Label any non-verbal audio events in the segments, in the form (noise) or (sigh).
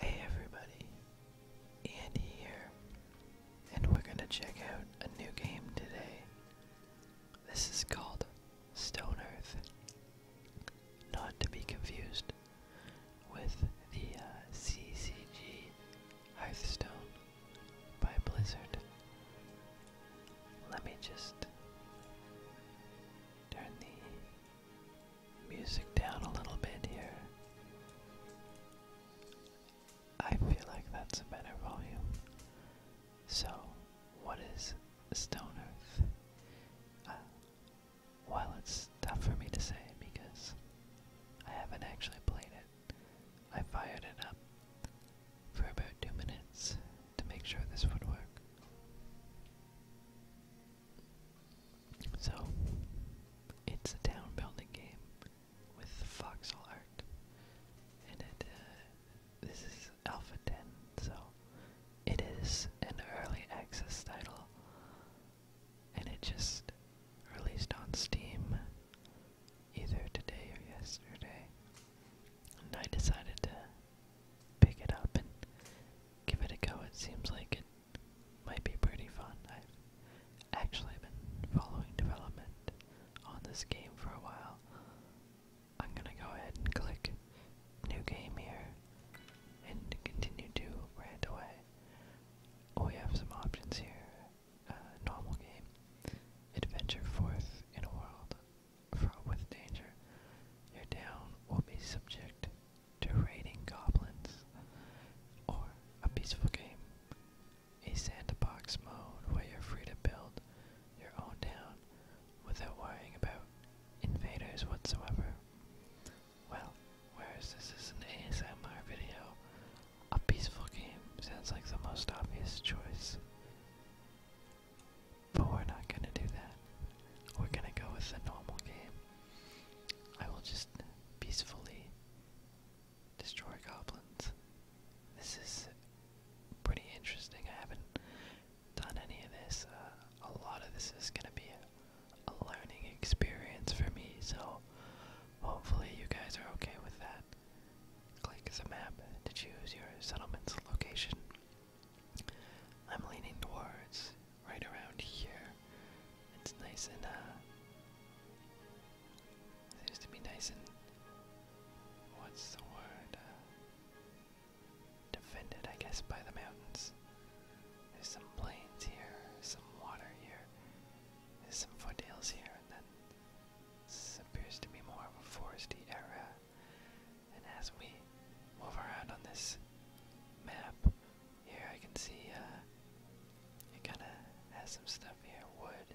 Hey everybody, Andy here, and we're gonna check out a new game today. This is called Stone Earth, not to be confused with the uh, CCG Hearthstone by Blizzard. Let me just turn the music down a little bit here. I feel like that's a better volume. So, what is Stone Earth? Uh, well, it's tough for me to say because I haven't actually played it. I fired it up for about two minutes to make sure this would work. So, it's a town building game with foxhole art, and it uh, this is Alpha 10, so it is an early access title, and it just released on Steam either today or yesterday, and I decided to pick it up and give it a go. It seems like it might be pretty fun. I've actually been following development on this game for a while. I'm gonna go ahead and click new game here and continue to rant away. Oh, we have some options here. Uh, normal game. Adventure forth in a world fraught with danger. Your town will be subject to raiding goblins, or a peaceful game, a sandbox mode where you're free to build your own town without worrying about invaders whatsoever. Well, whereas this is an ASMR video, a peaceful game sounds like the most obvious choice. But we're not gonna do that. We're gonna go with the normal game I will just peacefully destroy goblins. This is pretty interesting. I haven't done any of this. Uh, a lot of this is going to be a learning experience for me, so hopefully you guys are okay with that. Click the map to choose your settlement's location. I'm leaning towards right around here. It's nice and, uh, seems to be nice and, what's the word, uh, defended, I guess, by the mountains. There's some plains here, some water here, there's some foothills here, and then this appears to be more of a foresty area. And as we move around on this map, here I can see uh, it kind of has some stuff here. Wood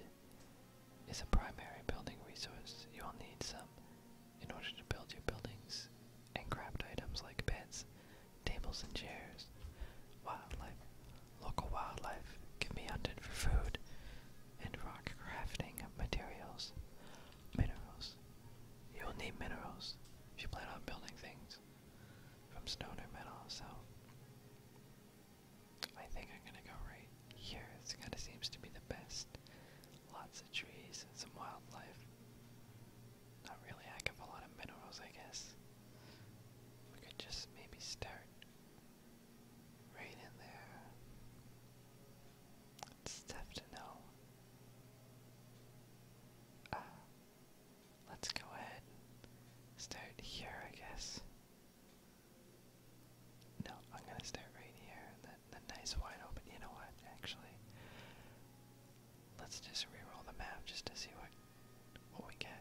is a primary building resource. You'll need some in order to build your buildings and craft items like beds, tables, and chairs. Wildlife. Local wildlife can be hunted for food and rock crafting materials. Minerals. You'll need minerals if you plan on building things from stone or metal, so I think I'm gonna go right here. This kinda seems to be the best. Lots of trees and some wildlife. Not really I have a lot of minerals, I guess. We could just maybe start right in there. It's to know. Uh, let's go ahead and start here, I guess. No, I'm gonna start right here. The, nice wide open. You know what? Actually, let's just reroll the map just to see what what we get.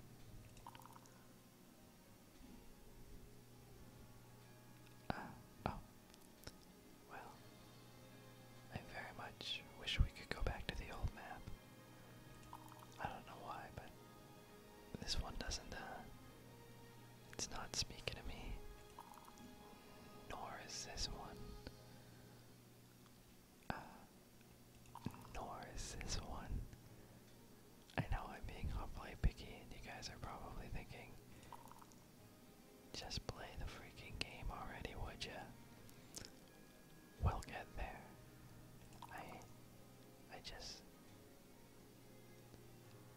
Uh, oh, well, I very much wish we could go back to the old map. I don't know why, but this one doesn't, uh, it's not speaking to me. Nor is this one. Uh, nor is this one. I know I'm being awfully picky, and you guys are probably thinking, just play the freaking game already, would ya? We'll get there. I. I just.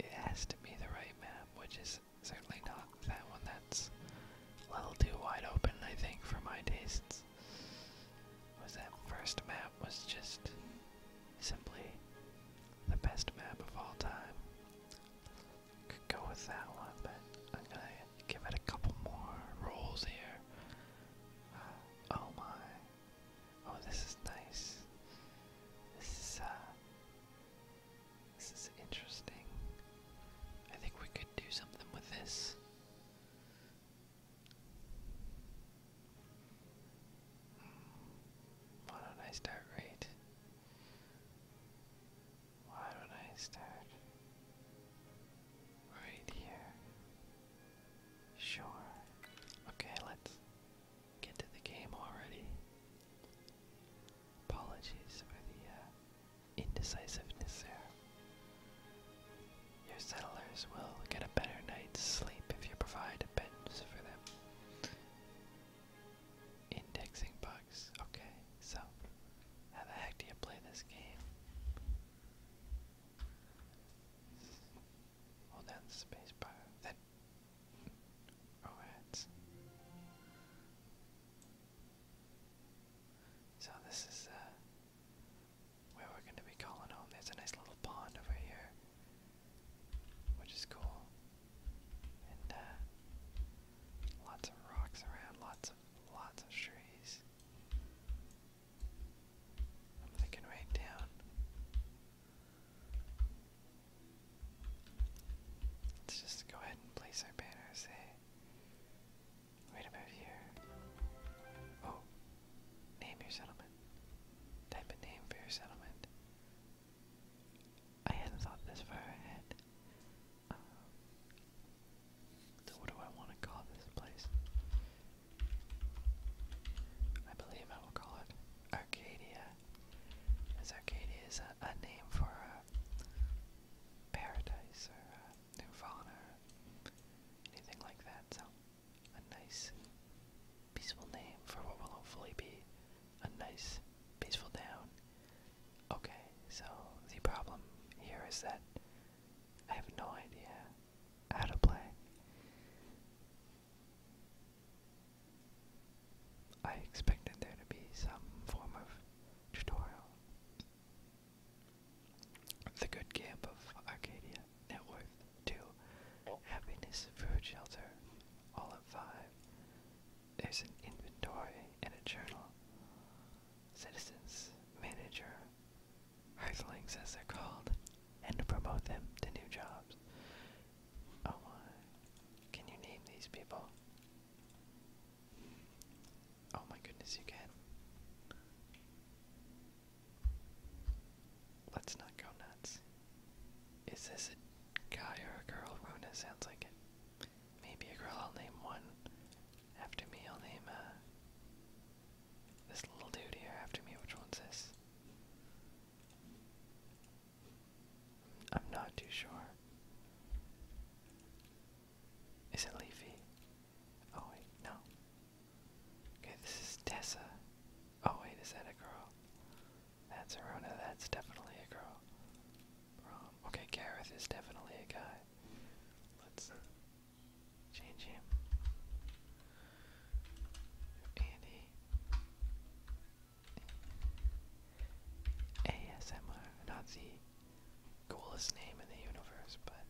It has to be the right map, which is certainly not that one that's a little too wide open, I think, for my tastes. Was that first map was just simply the best map of all time. Could go with that one, but I'm gonna give it a couple more rolls here. Uh, oh my. Oh, this is nice. This is, uh, This is interesting. I think we could do something with this. Hmm. What a nice start rate. Why would I start right here? Sure. Okay, let's get to the game already. Apologies for the uh, indecisiveness there. Your settlers will get a better night's sleep if you provide a for them. Indexing bugs. Okay, so how the heck do you play this game? Hold down the space bar. Then oh ads. So this is uh where we're gonna be calling home. There's a nice little pond over here. Which is cool. And uh Lots of rocks around, lots of lots of trees. I'm thinking right down. Let's just go ahead and place our banners, hey. Right about here. Oh. Name your settlement. Type a name for your settlement. I hadn't thought this far ahead. Um, so what do I want to call this place? I believe I will call it Arcadia, as Arcadia is a, name for a paradise or a nirvana or anything like that. So, a nice, peaceful name for what will hopefully be a nice, peaceful town Okay, so the problem here is that I have no idea how to play. I expected there to be some form of tutorial. The good camp of Arcadia, net worth 2, happiness, food, shelter, all at 5, there's an inventory and a journal. Citizens, manager, earthlings as they're called, and to promote them to new jobs. Oh my. Can you name these people? Oh my goodness, you can. Let's not go nuts. Is this a guy or a girl? Runa sounds like it. Maybe a girl I'll name one after me. I'll name uh, this little dude here after me. Which one's this? I'm not too sure. Is it Leafy? Oh wait, no. Okay, this is Tessa. Oh wait, is that a girl? That's Arona, that's definitely a girl. Okay, Gareth is definitely a guy. Let's change him. Andy. ASMR. Not the coolest name in the universe, but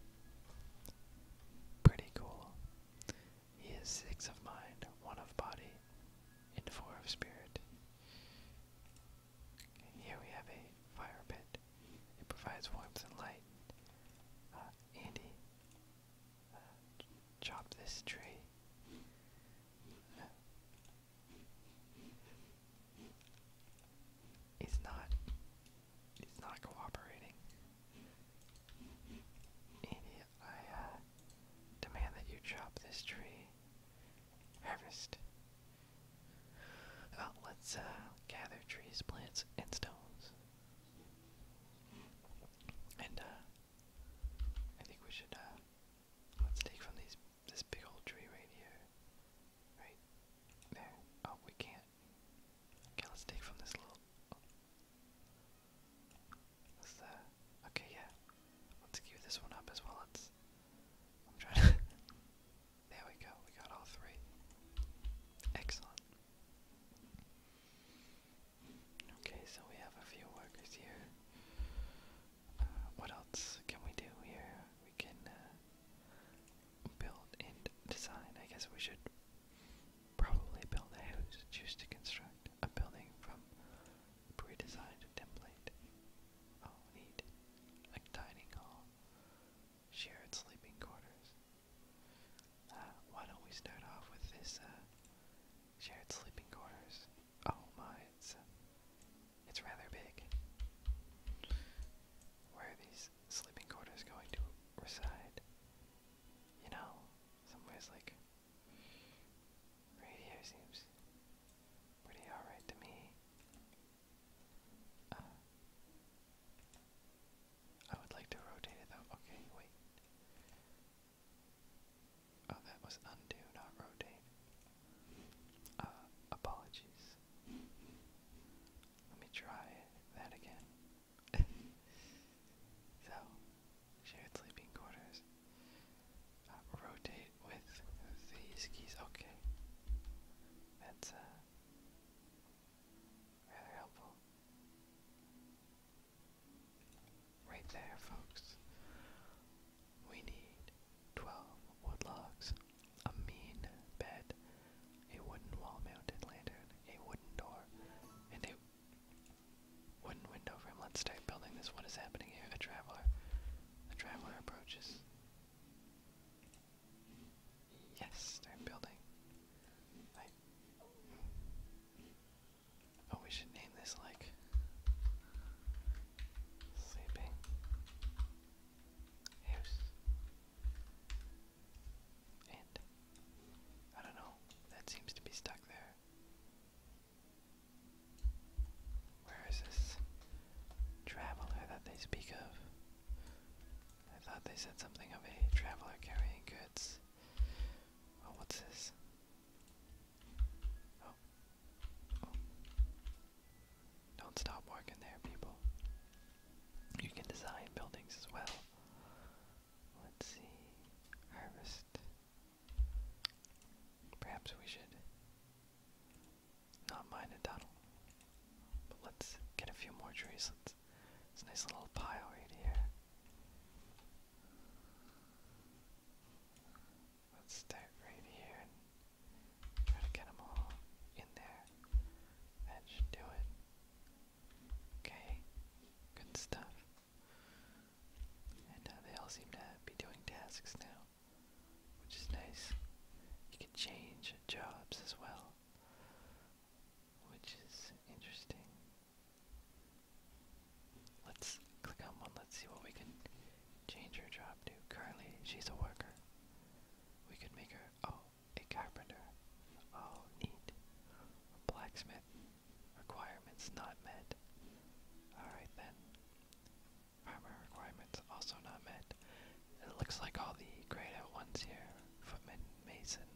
pretty cool. He is six of mind, one of body, and four of spirit. Here we have a fire pit. It provides warmth and light. Uh, Andy, uh, chop this tree. Uh, not. It's not cooperating. Andy, I uh, demand that you chop this tree. Harvest let's uh, gather trees, plants, and stones. And uh, I think we should uh, let's take from these this big old tree right here, right there. Oh, we can't. Okay, let's take from this little. Oh. What's Okay, yeah. Let's give this one up as well. Let's (laughs) there we go, we got all three. Excellent. Okay, so we have a few workers here. Uh, what else can we do here? We can uh, build and design. I guess we should probably build a house. Choose to construct a building from pre-designed template. Oh, neat. A dining hall. Shared sleeping quarters. Uh, why don't we start off with this, uh, shared sleeping quarters? Oh my, it's, uh, it's rather big. Where are these sleeping quarters going to reside? You know, somewhere's like Radio seems pretty alright to me. Uh, I would like to rotate it though. Okay, wait. Oh, that was undo, not rotate. Uh, apologies. Let me try that again. (laughs) so, shared sleeping quarters rotate with these keys. Okay, that's uh, helpful. Right there, folks. We need 12 wood logs, a mean bed, a wooden wall mounted lantern, a wooden door, and a wooden window frame. Let's start building this. What is happening here? A traveler. A traveler approaches. Yes, they're building. Oh, we should name this like sleeping house. And I don't know. That seems to be stuck there. Where is this traveler that they speak of? I thought they said something of a traveler carrying goods. Oh, what's this? Oh. Don't stop working there, people. You can design buildings as well. Let's see. Harvest. Perhaps we should not mine Donald. But let's get a few more trees. Let's, it's a nice little pile right here. Let's start right here and try to get them all in there. should do it. Okay, good stuff. And uh, they all seem to be doing tasks now which is nice. You can change jobs as well, which is interesting. Let's click on one, let's see what we can change her job to. Currently, she's a worker. We could make her, oh, a carpenter. Oh, neat. blacksmith. Requirements not met. Alright then hardware requirements also not met. It looks like all the grayed out ones here, Footman, Mason,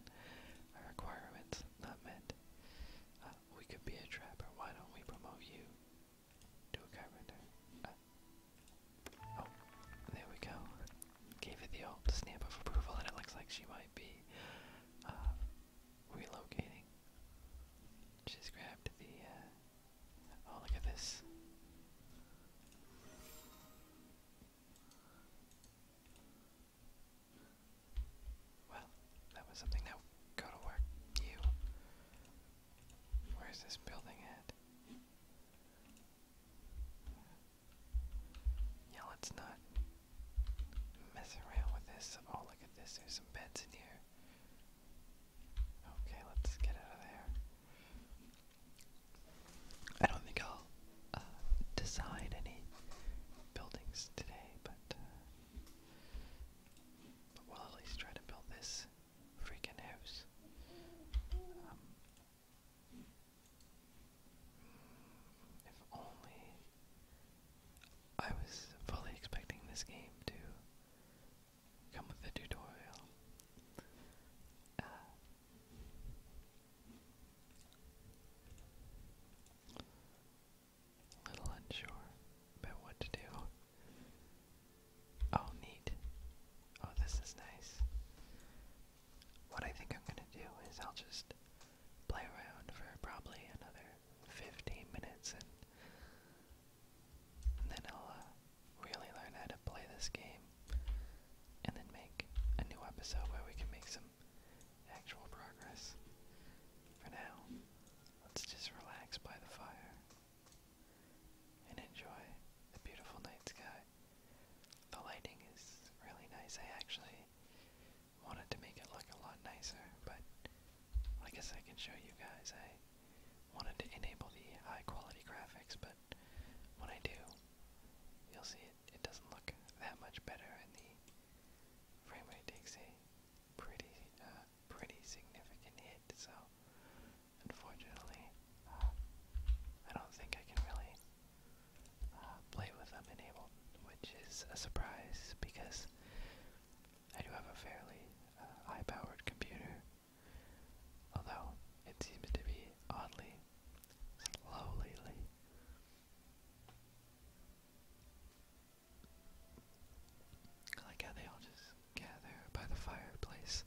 are uh, requirements not met. Uh, we could be a trapper, why don't we promote you to a carpenter? Uh, oh, there we go. Gave it the old stamp of approval and it looks like she might be uh, relocating. She's grabbed the uh, Oh, look at this. Well, that was something. Now go to work, you. Where's this building at? Yeah, let's not mess around with this. Oh, look at this. There's some beds in here. Okay, let's get out of there. I don't think I'll uh, design any buildings today, but, uh, but we'll at least try to build this freaking house. Um, if only I was fully expecting this game to come with the tutorial. Uh, little unsure about what to do. Oh, neat. Oh, this is nice. What I think I'm gonna do is I'll just play around for probably another 15 minutes and and then I'll uh, really learn how to play this game and then make a new episode where we can make some actual progress. For now, let's just relax by the fire and enjoy the beautiful night sky. The lighting is really nice. I actually wanted to make it look a lot nicer, but I guess I can show you guys. I wanted to enable the high quality graphics, but when I do, you'll see it, doesn't look that much better, and the frame rate takes a pretty, uh, pretty significant hit. So, unfortunately, uh, I don't think I can really uh, play with them enabled, which is a surprise because I do have a fairly uh, high-powered computer, although it seems to be oddly slow I like how they all just gather by the fireplace.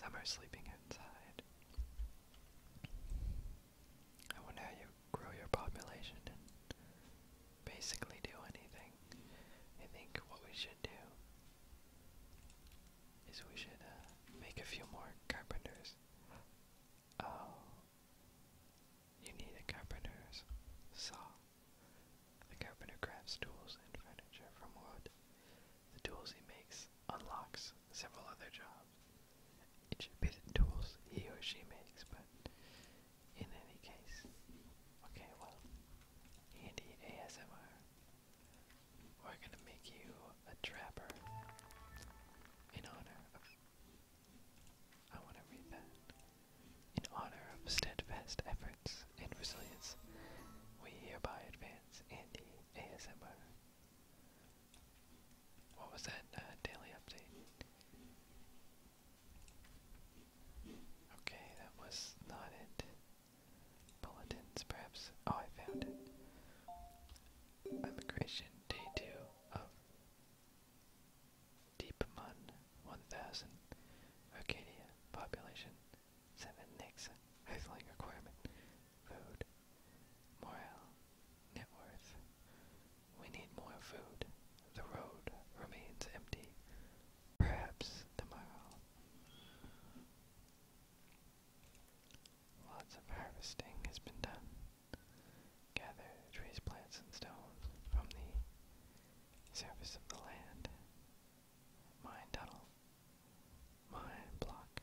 Some are sleeping outside. I wonder how you grow your population basically do anything. I think what we should do is we should uh, make a few more carpenters. Oh, you need a carpenter's saw. The carpenter crafts tools and furniture from wood. The tools he makes unlocks several other jobs. It should be the tools he or she makes, but in any case. Okay, well, Andy ASMR, we're gonna make you a trapper in honor of. I want to read that. In honor of steadfast efforts and resilience, we hereby advance Andy ASMR. What was that uh, daily update? Okay, that was not it. Bulletins, perhaps. Oh, I found it. Immigration, day two of Deepman, 1000. Arcadia, population 7 Nix. Housing requirement, food, morale, net worth. We need more food. The road remains empty. Perhaps tomorrow. Lots of harvesting has been done. Gather trees, plants, and stones from the surface of the land. Mine tunnel. Mine block.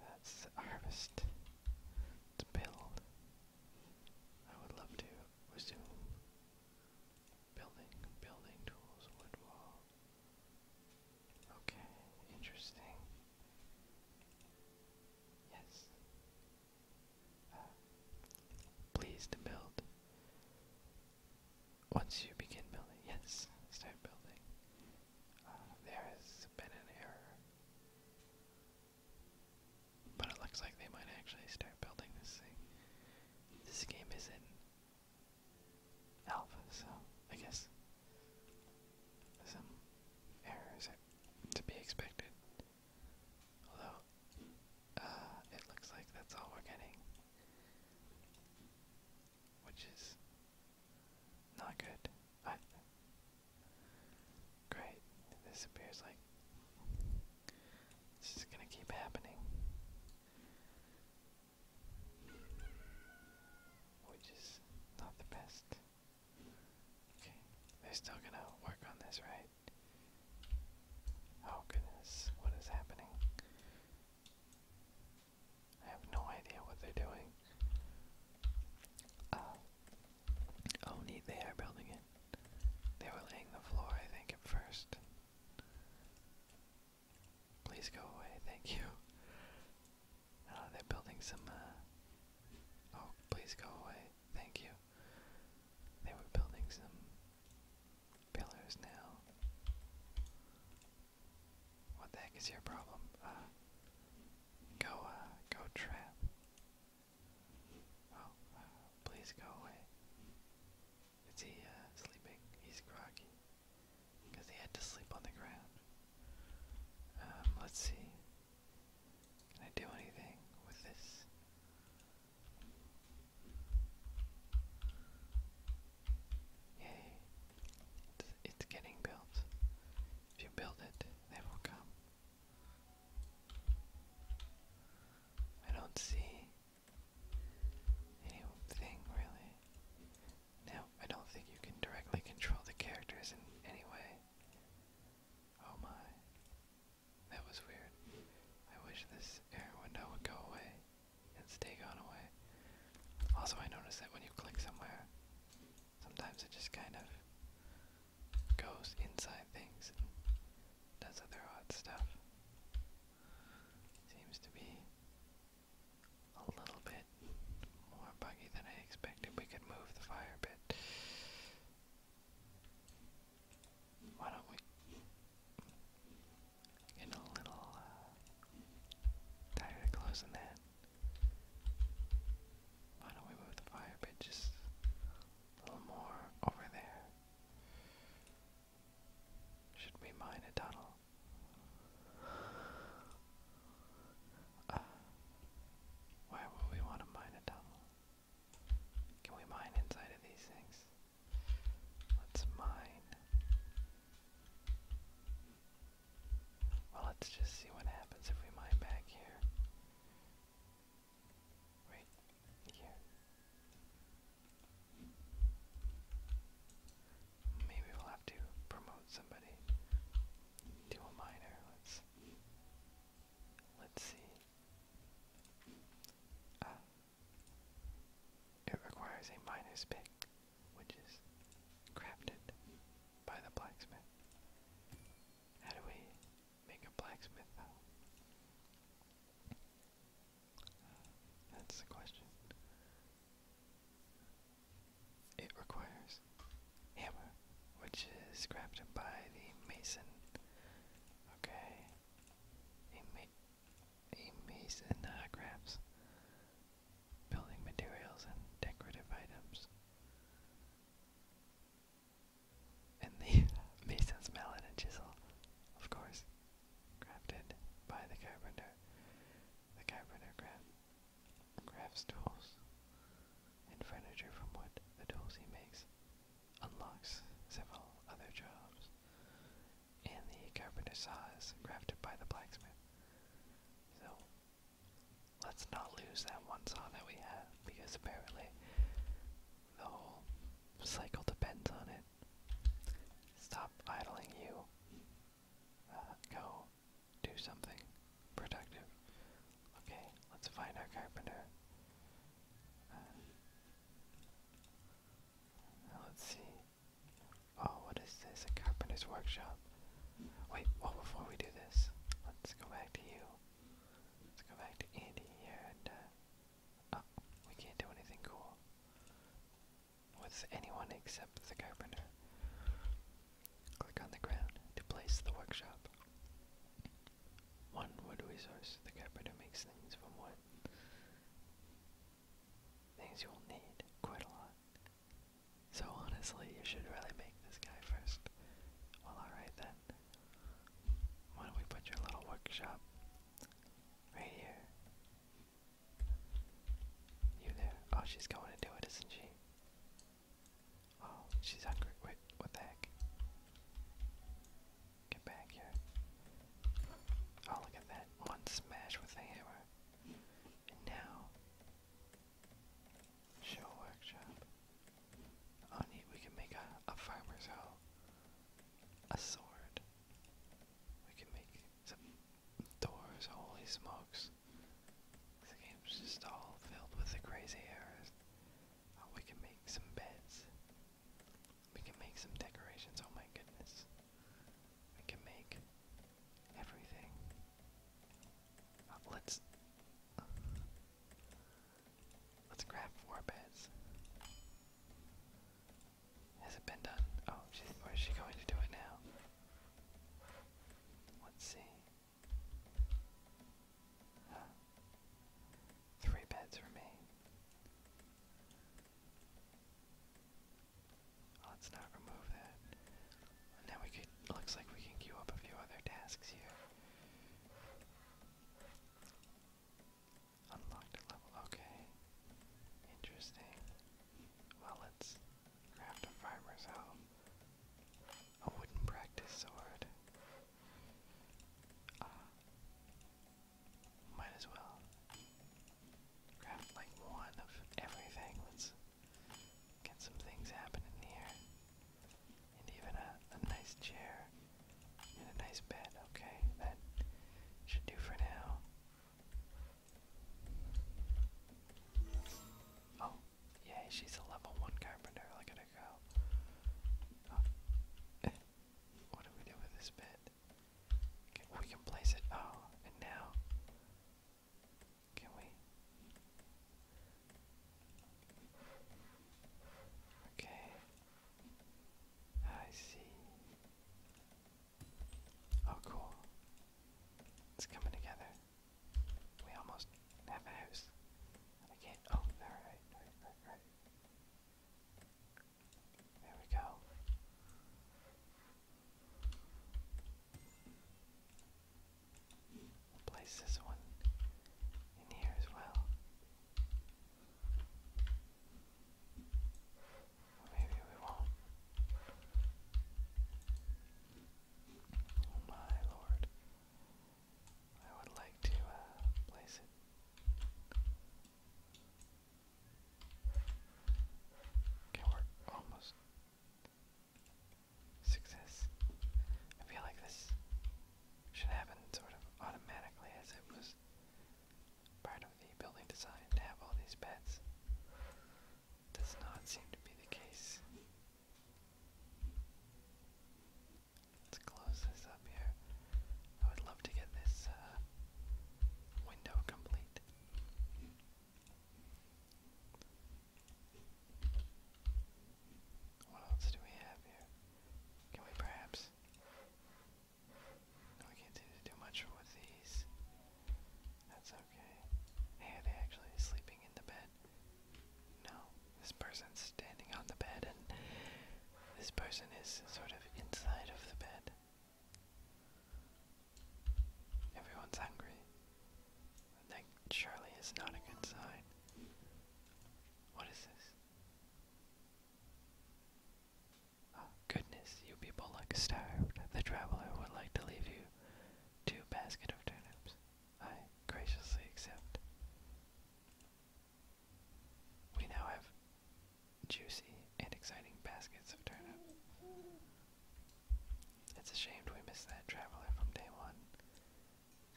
That's harvest. It's build. I would love to resume building, building tools, wood wall. Okay, interesting. Yes. Uh, please to build. Once you begin building, yes, start building. Uh, there has been an error. But it looks like they might actually start building this thing. This game is not alpha, so I guess some errors to be expected. Although, uh, it looks like that's all we're getting. Which is not good. Great. This appears like this is gonna keep happening. Which is not the best. Okay. They're still gonna work on this, right? Oh goodness, what is happening? I have no idea what they're doing. Uh, Oh, they are building it. They were laying the floor, I think, at first. Please go away, thank you. Uh, they're building some, uh, Oh, please go away, thank you. They were building some pillars now. What the heck is your problem? Uh, go, uh, go trap. Oh, please go away. Is he uh, sleeping? He's groggy. Because he had to sleep on the ground. Um, let's see. Can I do anything with this? Yay. It's, it's getting built. If you build it, they will come. I don't see anything really. Now, I don't think you can directly control the characters in any way. Oh my. That was weird. I wish this error window would go away and stay gone away. Also, I noticed that when you click somewhere, sometimes it just kind of goes inside things and does other odd stuff. Seems to be a little bit more buggy than I expected. We could move the fire bit. Why don't we get a little uh, tired of closing that? Why don't we move the fire pit just a little more over there? Should we mine a tunnel? Uh, would we want to mine a tunnel? Can we mine inside of these things? Let's mine. Well, let's just see what happens if we mine back here right here. Maybe we'll have to promote somebody to a minor. Let's let's see. Ah. it requires a miner's pick, which is crafted by the blacksmith. How do we make a blacksmith uh, That's the question. It requires hammer, which is crafted by the mason. Okay. A, mason uh, crafts building materials and decorative items and the (laughs) mason's mallet and chisel, of course, crafted by the carpenter. The carpenter craft, crafts tools and furniture from wood. The tools he makes unlocks several other jobs, and the carpenter is crafted by the blacksmith. So Let's not lose that one song that we have, because apparently the whole cycle depends on it. Stop idling you. Uh, go do something productive. Okay, let's find our carpenter. Uh, let's see. Oh, what is this? A carpenter's workshop. Wait, well, before we do this, let's go back to you. Let's go back to Andy uh, oh, we can't do anything cool with anyone except the carpenter. Click on the ground to place the workshop. One wood resource. The carpenter makes things from wood. Things you'll need quite a lot. So honestly, you should really make this guy first. Well, alright then. Why don't we put your little workshop right here? You there? Oh, she's going to do it, isn't she? Oh, she's hungry. Wait, what the heck? Get back here. Oh, look at that. One smash with the hammer. And now, show workshop. Oh we can make a, farmer's hoe. A sword. We can make some doors, holy smokes. The game's just all filled with the crazy errors. Oh, we can make some beds. We can make some decorations, oh my goodness. We can make everything. Uh, let's. Let's grab four beds. Has it been done? Oh, she, oh, she going to do it now? Let's see. Three beds remain. Let's not remove that. And now we could, looks like we can queue up a few other tasks here. Unlocked level, okay. Interesting. Well, let's craft a farmer's home. A wooden practice sword. Uh, might as well. Craft like one of everything. Let's Got some things happening here. And even a, nice chair and a nice bed. Okay, that should do for now. Oh, yeah, she's a level one carpenter. Look at her go. Oh. (laughs) what do we do with this bed? we can place it. Oh, now can we? Okay. I see. Oh, cool. It's coming together. We almost have a house. I Oh, There we go. We'll place this one in here as well. maybe we won't. Oh my lord. I would like to uh, place it. Okay, we're almost Success. I feel like this should happen sort of automatically as it was part of the building design to have all these beds. Does not seem to be the case. Let's close this up here. I would love to get this uh, window complete. What else do we have here? Can we perhaps? No, we can't seem to much with these. That's okay. are they actually sleeping in the bed? No, this person's standing on the bed, and this person is sort of inside of the bed. Everyone's hungry. That surely is not a good sign. What is this? Oh, goodness, you people look starved. The traveler would like to leave you two basket of turnips. I graciously accept. We now have juicy and exciting baskets of turnips. It's a shame we missed that traveler from day one.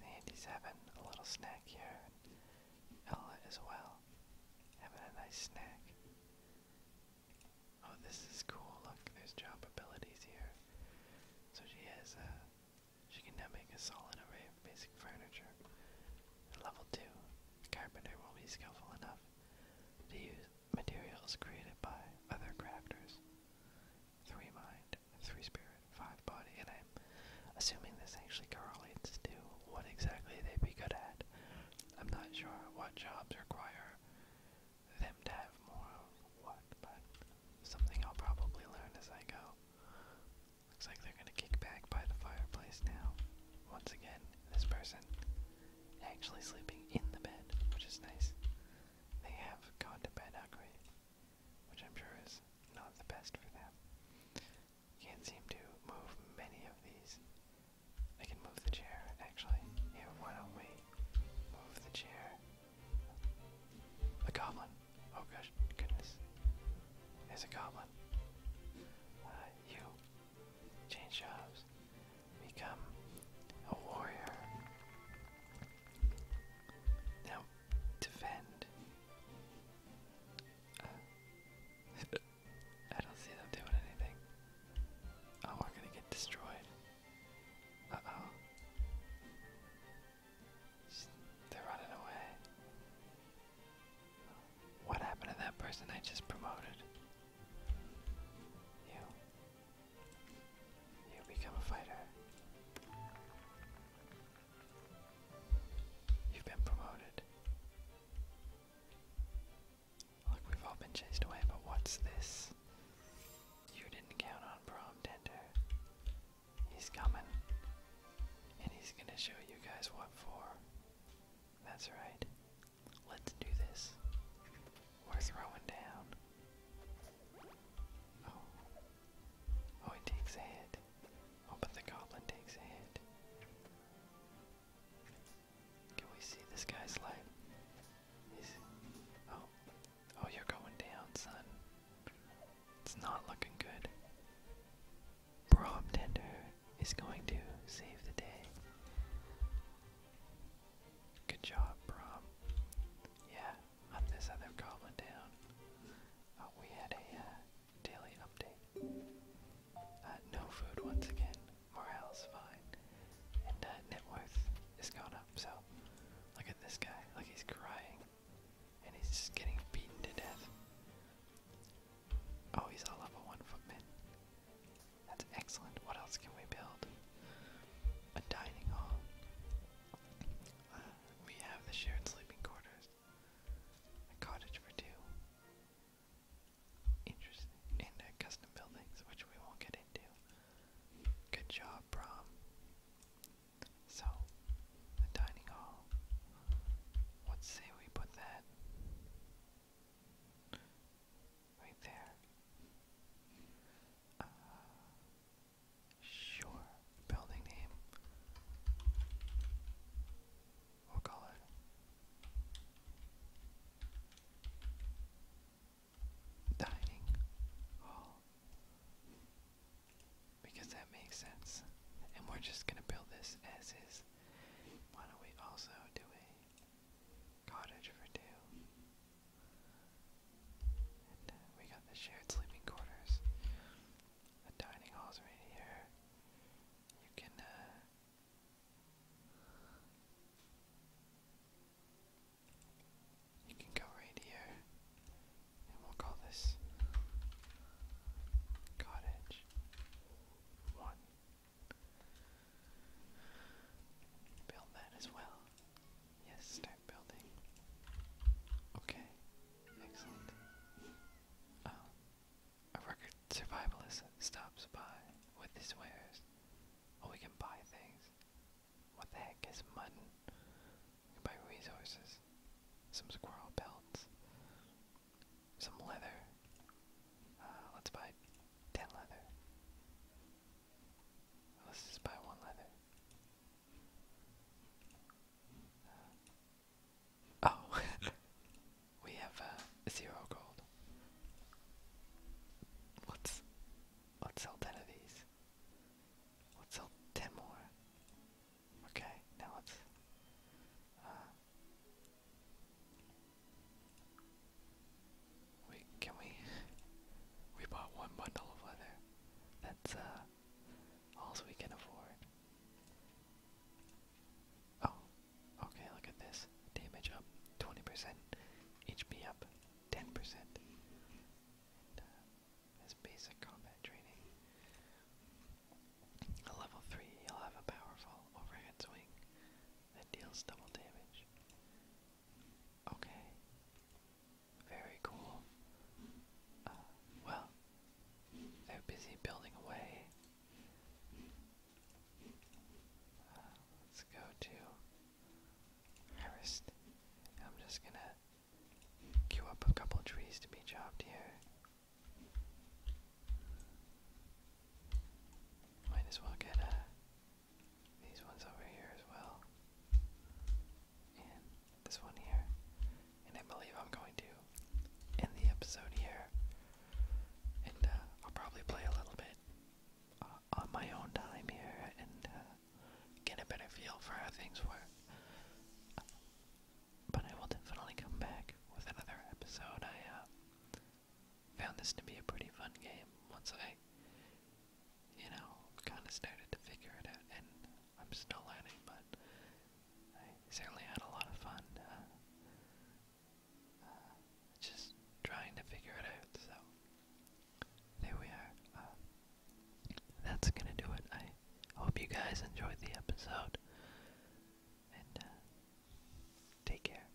Andy's having a little snack here, Ella as well, having a nice snack. Oh, this is cool. Look, there's job abilities here. So she has, uh, she can now make a solid array of basic furniture. At level 2, the carpenter will be skillful enough to use materials created by other crafters. 3 mind spirit, three spirit, five body, and I'm assuming this actually correlates to what exactly they'd be good at. I'm not sure what jobs require them to have more of what, but something I'll probably learn as I go. Looks like they're gonna kick back by the fireplace now. Once again, this person actually sleeping in the bed, which is nice. They have gone to bed hungry which I'm sure is not the best for them. Can't seem to move many of these. I can move the chair, actually. Here, why don't we move the chair? The goblin! Oh gosh, goodness. There's a goblin. Uh, you change jobs. Become a warrior. Now, defend. I don't see them doing anything. Oh, we're gonna get destroyed. Uh oh. they're running away. What happened to that person I just promoted? You. You become a fighter. You've been promoted. Look, we've all been chased away, but what's this? You didn't count on Prom Tender. He's coming. And he's gonna show you guys what for. That's right. Let's do this. We're throwing down. Oh. Oh, it takes a hit. Oh, but the goblin takes a hit. Can we see this guy's life? He's. Oh. Oh, you're going down, son. It's not looking good. Prom Tender is going to save the day. Good job, Brom. Yeah, on this other goblin town. Oh, we had a uh, daily update. Uh, no food once again. Morale's fine. And uh, net worth is gone up, so look at this guy. Like he's crying. And he's just getting beaten to death. Oh, he's a level one footman. That's excellent. What else can we build? A dining hall. We have the shared sleeping quarters. A cottage for two. Interesting. And uh, custom buildings, which we won't get into. Good job, Brom. So, the dining hall. What say we put that right there? Uh, Sure. Building name. We'll call it. Dining hall. Because that makes sense. And we're just gonna build this as is. Why don't we also do a cottage for two? Uh, we got the shared sleeping quarters. The dining hall's right here. You can, uh, You can go right here. And we'll call this Cottage 1. Build that as well. Yes, start building. Okay, excellent. Oh, a record survivalist stops by with his wares. Oh, we can buy things. What the heck is mutton? We can buy resources. Some squirrel pelts. Some leather. Uh, let's buy ten leather. Let's just buy one leather. Uh, oh, (laughs) we have uh, zero gold. let let's sell ten of these. Let's sell ten more. Okay, now let's. Uh, Wait, can we? We bought one bundle of leather. That's uh, all we can afford. Oh, okay. Look at this. Damage up 20%. HP up 10%. And, uh, basic combat training. level 3, you'll have a powerful overhead swing that deals double damage. Okay. Very cool. Uh, well, they're busy building away. Uh, let's go to harvest. I'm just gonna queue up a couple trees to be chopped here. Might as well get a these ones over here as well, and this one here. And I believe I'm going to end the episode here. And uh, I'll probably play a little bit uh, on my own time here and uh, get a better feel for how things work. but I will definitely come back with another episode. I found this to be a pretty fun game once I you know, kind of started to figure it out, and I'm still learning, but I certainly had a lot of fun uh, uh, just trying to figure it out. So there we are. Uh, that's gonna do it. I hope you guys enjoyed the episode, and take care.